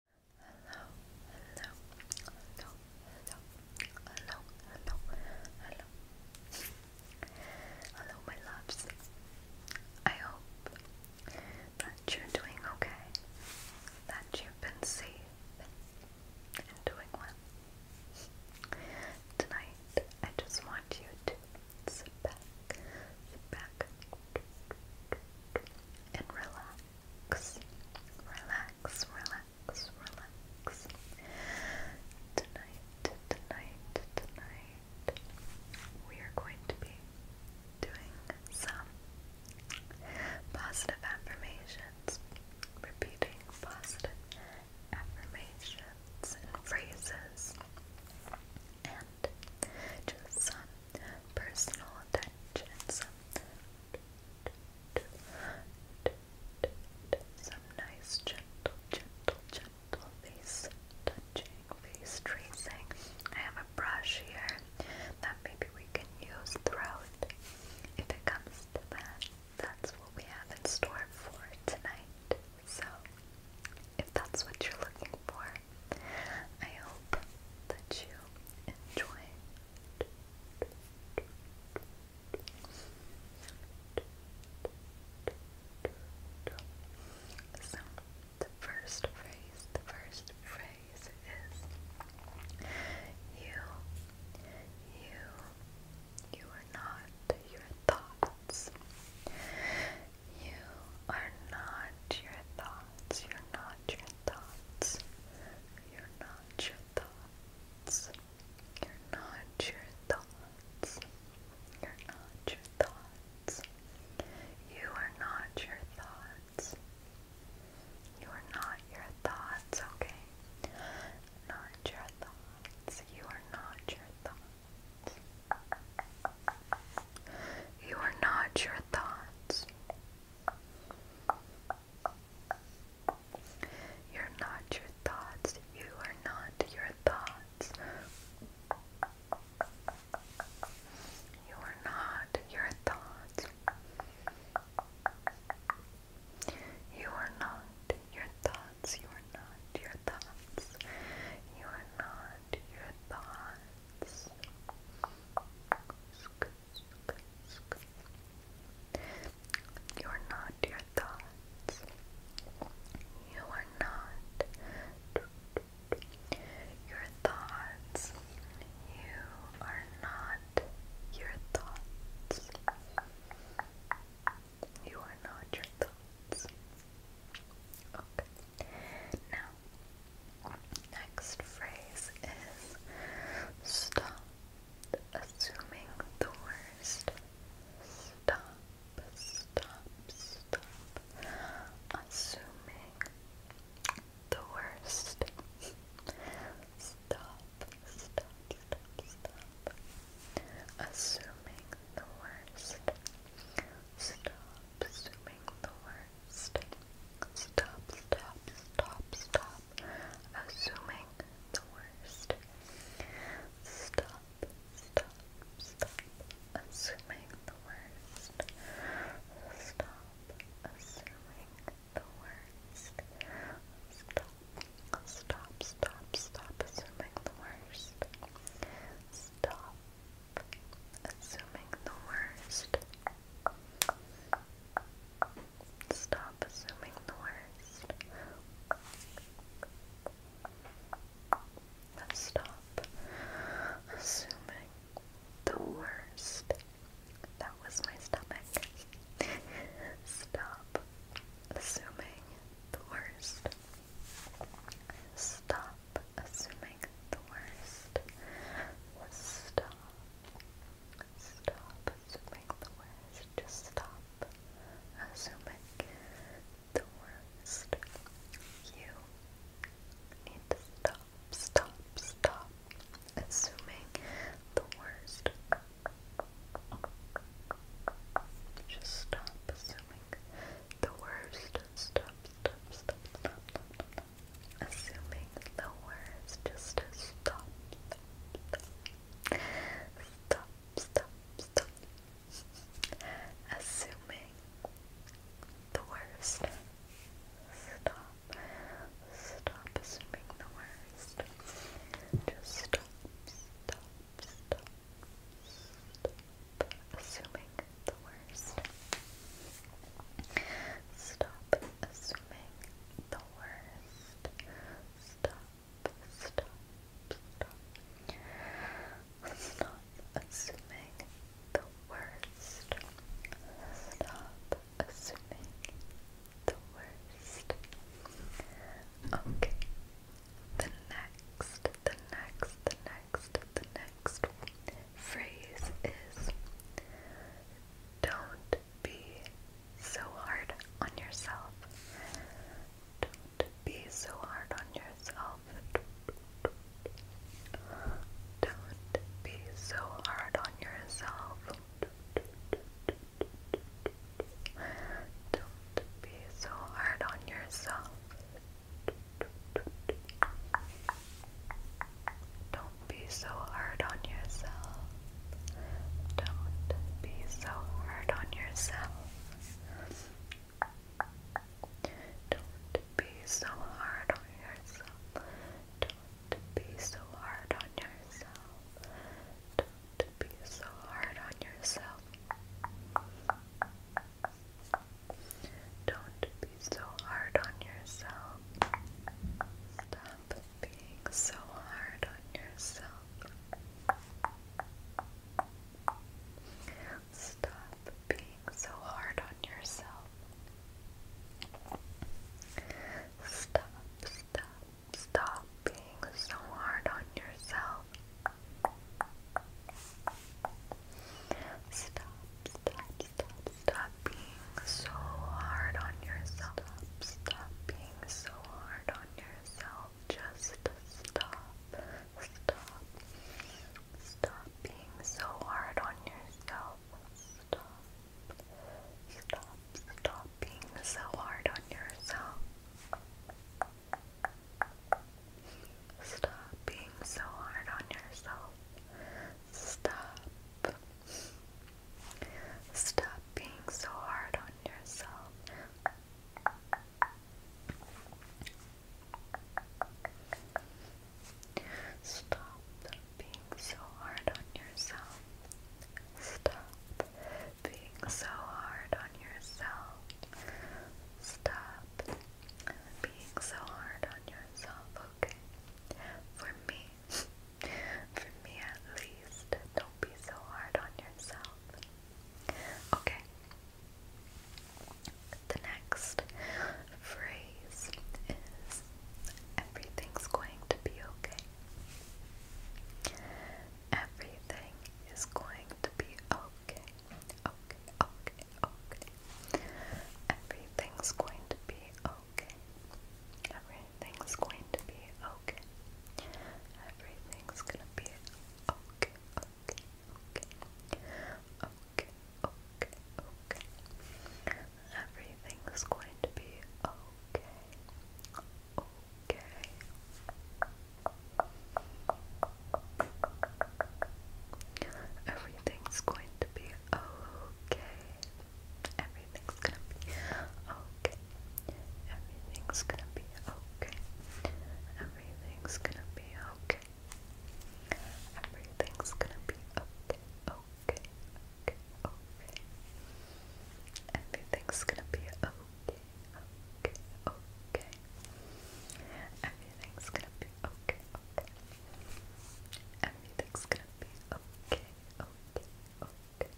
Hello, hello, hello, hello, hello, hello, hello, my loves. I hope that you're doing okay, that you've been safe and doing well. Tonight, I just want you to sit back, sit back, and relax relax, relax, relax, Tonight, tonight, tonight, we are going to be doing some positive affirmations, repeating positive affirmations and phrases, and just some personal attention, some, some nice gentle, gentle, gentle face touching, face tracing. I have a brush here that maybe we can use throughout if it comes to that. That's what we have in store for tonight. So, if that's what you're looking for, I hope that you enjoy So, the first phrase, the first phrase is you, you, you are not your thoughts. You are not your thoughts. You're not your thoughts. You're not your thoughts. You're not your thoughts. You're not your thoughts. You are not your thoughts. You are not your thoughts, okay? Not your thoughts. You are not your thoughts. You are not your thoughts. You're not your thoughts. You are not your thoughts. You are not your thoughts. You are not your thoughts. You are not your thoughts. You are not your thoughts let you're not your thoughts. You are not your thoughts. You are not your thoughts. You are not your thoughts. Okay. Now, Next phrase is stop assuming the worst. Stop, stop, stop assuming the worst. Stop, stop, stop, assuming the worst. Stop assuming the worst first. Stop, stop, stop, stop. Assuming the worst. Stop, stop, stop. Assuming the worst. Stop, assuming the worst. Stop, stop, stop, stop, assuming the worst. Stop. Stop, assuming the worst. Stop assuming the worst. Stop assuming the worst. That was my stomach. Stop assuming the worst. Stop up, assuming the worst. Stop. Stop assuming the worst. Just stop assuming the worst. You need to stop, stop, stop assuming the worst. Just stop assuming the worst. stop, stop, stop, stop, assuming the words just stop, stop, stop, stop, stop, assuming the worst, stop, stop assuming the worst, just stop, stop, stop, stop assuming the worst. Stop assuming the worst. Stop, stop, stop. Stop assuming the worst. Stop assuming the worst. Okay. The next, the next, the next next, the next phrase is don't be so hard on yourself. Don't be so hard on yourself. Don't be so hard on yourself. Don't be so hard on yourself. Don't be so hard on yourself. Don't be so hard on yourself. Don't be so hard on yourself. Don't be so hard on yourself. Don't be so hard on yourself. Don't be so hard on yourself. Stop being so hard on yourself. Stop being so hard on yourself. Stop, stop, stop being so hard on yourself. Stop, stop, stop, stop being so hard on yourself. Stop, stop being so hard on yourself. Just stop, stop, stop being so hard on yourself. Stop, stop, stop being so hard on yourself. Stop being so hard on yourself. Stop. Stop being so hard on yourself. Stop being so hard on yourself. Stop being so hard on yourself. Stop being so hard on yourself, okay? For me, for me at least, don't be so hard on yourself. Okay. The next phrase is everything's going to be okay. Everything is going to be okay, okay, okay, okay. Everything's going to be okay. Everything's going to be okay. Everything's gonna be okay, okay, okay. Okay, okay, okay. Everything's going to be Okay. Okay. Everything's going to be okay. Everything's gonna be okay. Everything's gonna be okay. Everything's gonna be okay. Everything's gonna be okay. Okay. Okay. Okay. Everything's gonna be okay. Okay. Okay. Everything's gonna be okay, okay. Everything's gonna be okay, okay, okay.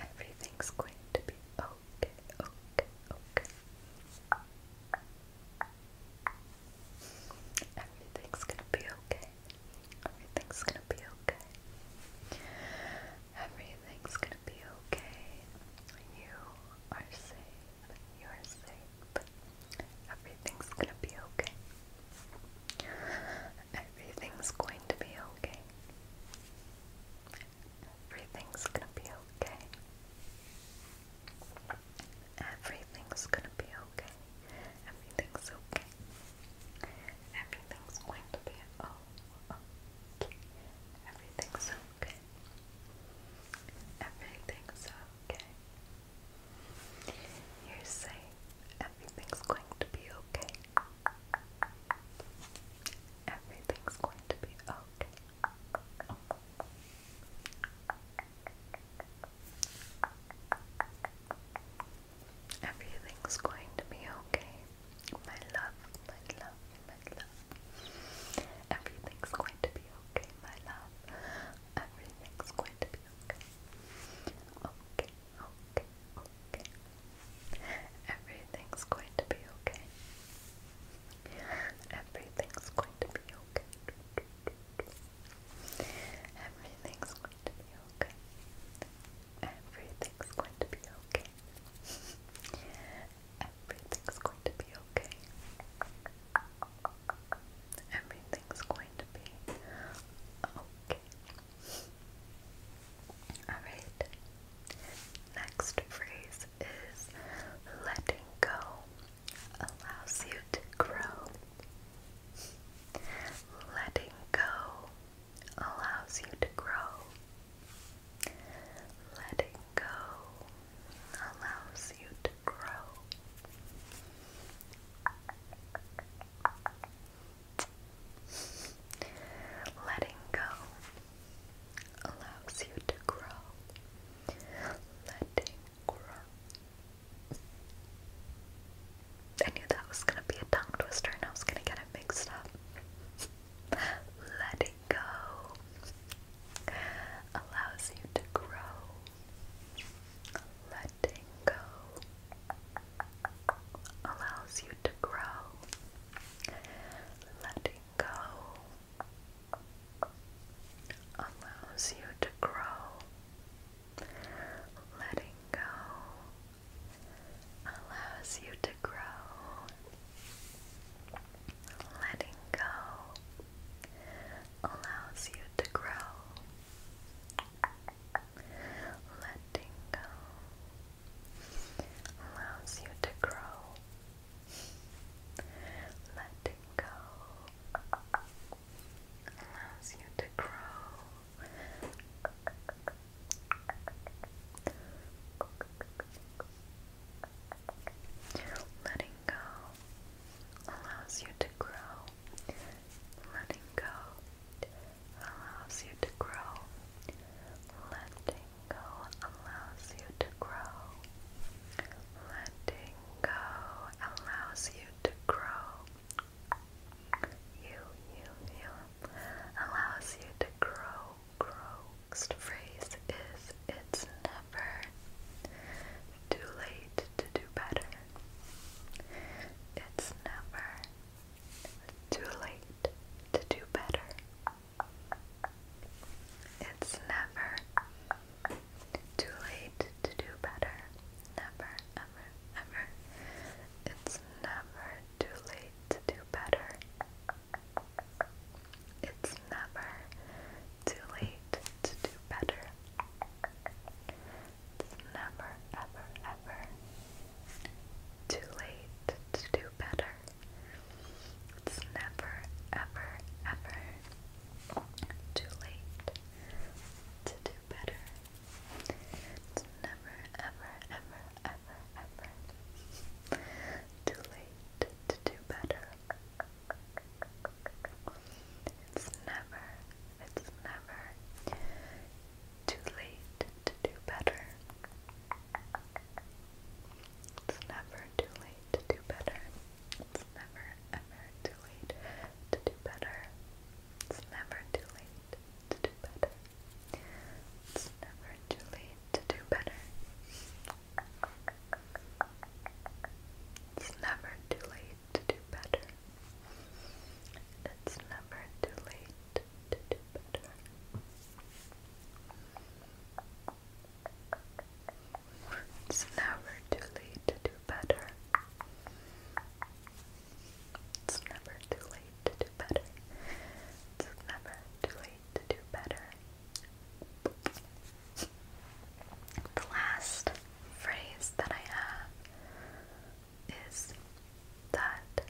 Everything's going to be okay, okay, okay. Everything's gonna be okay. Everything's gonna be okay. Everything's gonna be okay. You are safe. You are safe. Everything's gonna be okay. Everything's going to be okay. Everything's gonna be okay. Everything's gonna be okay. Everything's okay. Everything's going to be okay. Everything's okay. Everything's okay. You're Everything's going to be okay. Everything's going to be okay. Everything's going to be okay. My love, my love, my love. Everything's going to be okay, my love. Everything's going to be okay. Okay, okay, okay. Everything's going to be okay. Everything's going to be okay. Everything's going to be okay. Everything's going to be okay. Everything's going to be okay. Everything's going to be okay. Alright. Next phrase is letting go allows you to grow. Letting go allows you to grow. Letting go allows you to grow. Letting go allows you to grow. Letting grow. I knew that was gonna be a tongue twister I was gonna get it mixed up. Letting go allows you to grow. Letting go allows you to grow. Letting go allows you to grow. Letting go allows you to grow. Letting go allows you to grow. Letting go allows you to grow. Letting go allows you to grow. Letting go Letting go allows you to grow. Letting go allows you to grow. Letting go allows you to grow. Letting go allows you to grow. You, you, you allows you to grow, grow, next phrase is it's never too late to do better. It's never too late to do better. It's never too late to do better. Never, ever, ever. It's never too late to do better. It's never too late to do better. It's never, ever, ever too late to do better. It's never, ever, ever too late to do better. It's never, ever, ever, ever, ever too late fight to do better. It's never, it's never too late to do better. It's never too late to do better. It's never ever too late to do better. It's never too late to do better. It's never too late to do better. It's never too late to do better. It's never too late to do better. It's never too late to do better. It's never too late to do better. It's never too late to do better. The last phrase that I have is that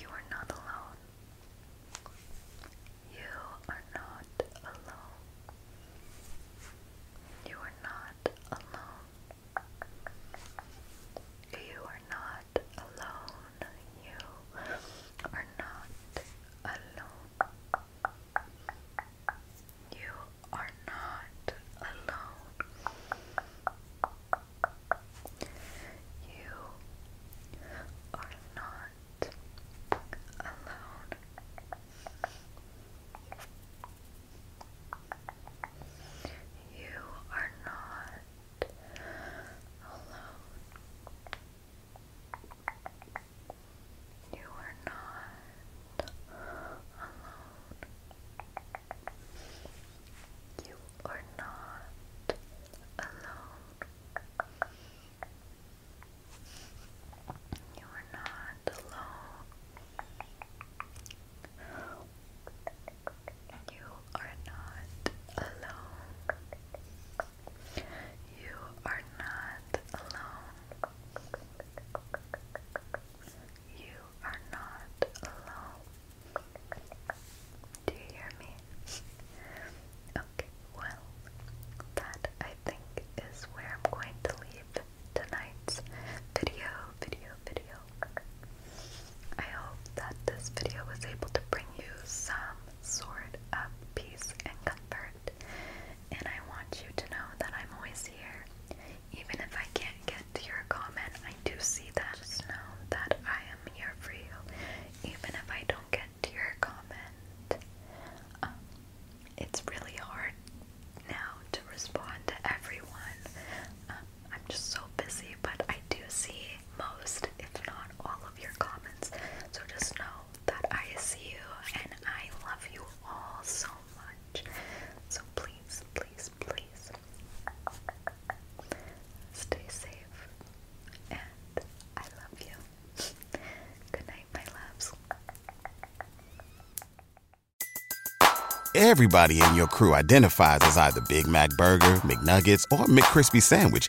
you are not alone. You are not alone. You are not alone. You are not alone. You are not alone. You are not alone. You are not alone. You are not alone. You are not alone. You are not alone. You are not alone. You are not alone. You are not alone. You are not alone. Do you hear me? Okay, well, that I think is where I'm going to leave tonight's video, video, video. I hope that this video was able to bring you some sort of peace and comfort. And I want you to know that I'm always here. Even if I can't get to your comment, I do see that. Just know that I am here for you. Even if I don't get to your comment, um, it's really hard now to respond to everyone. Um, I'm just so busy, but I do see most, if not all, of your comments. So just know that I see you and I love you all so much. So please, please, please stay safe and I love you. Good night, my loves. Everybody in your crew identifies as either Big Mac Burger, McNuggets, or McCrispy Sandwich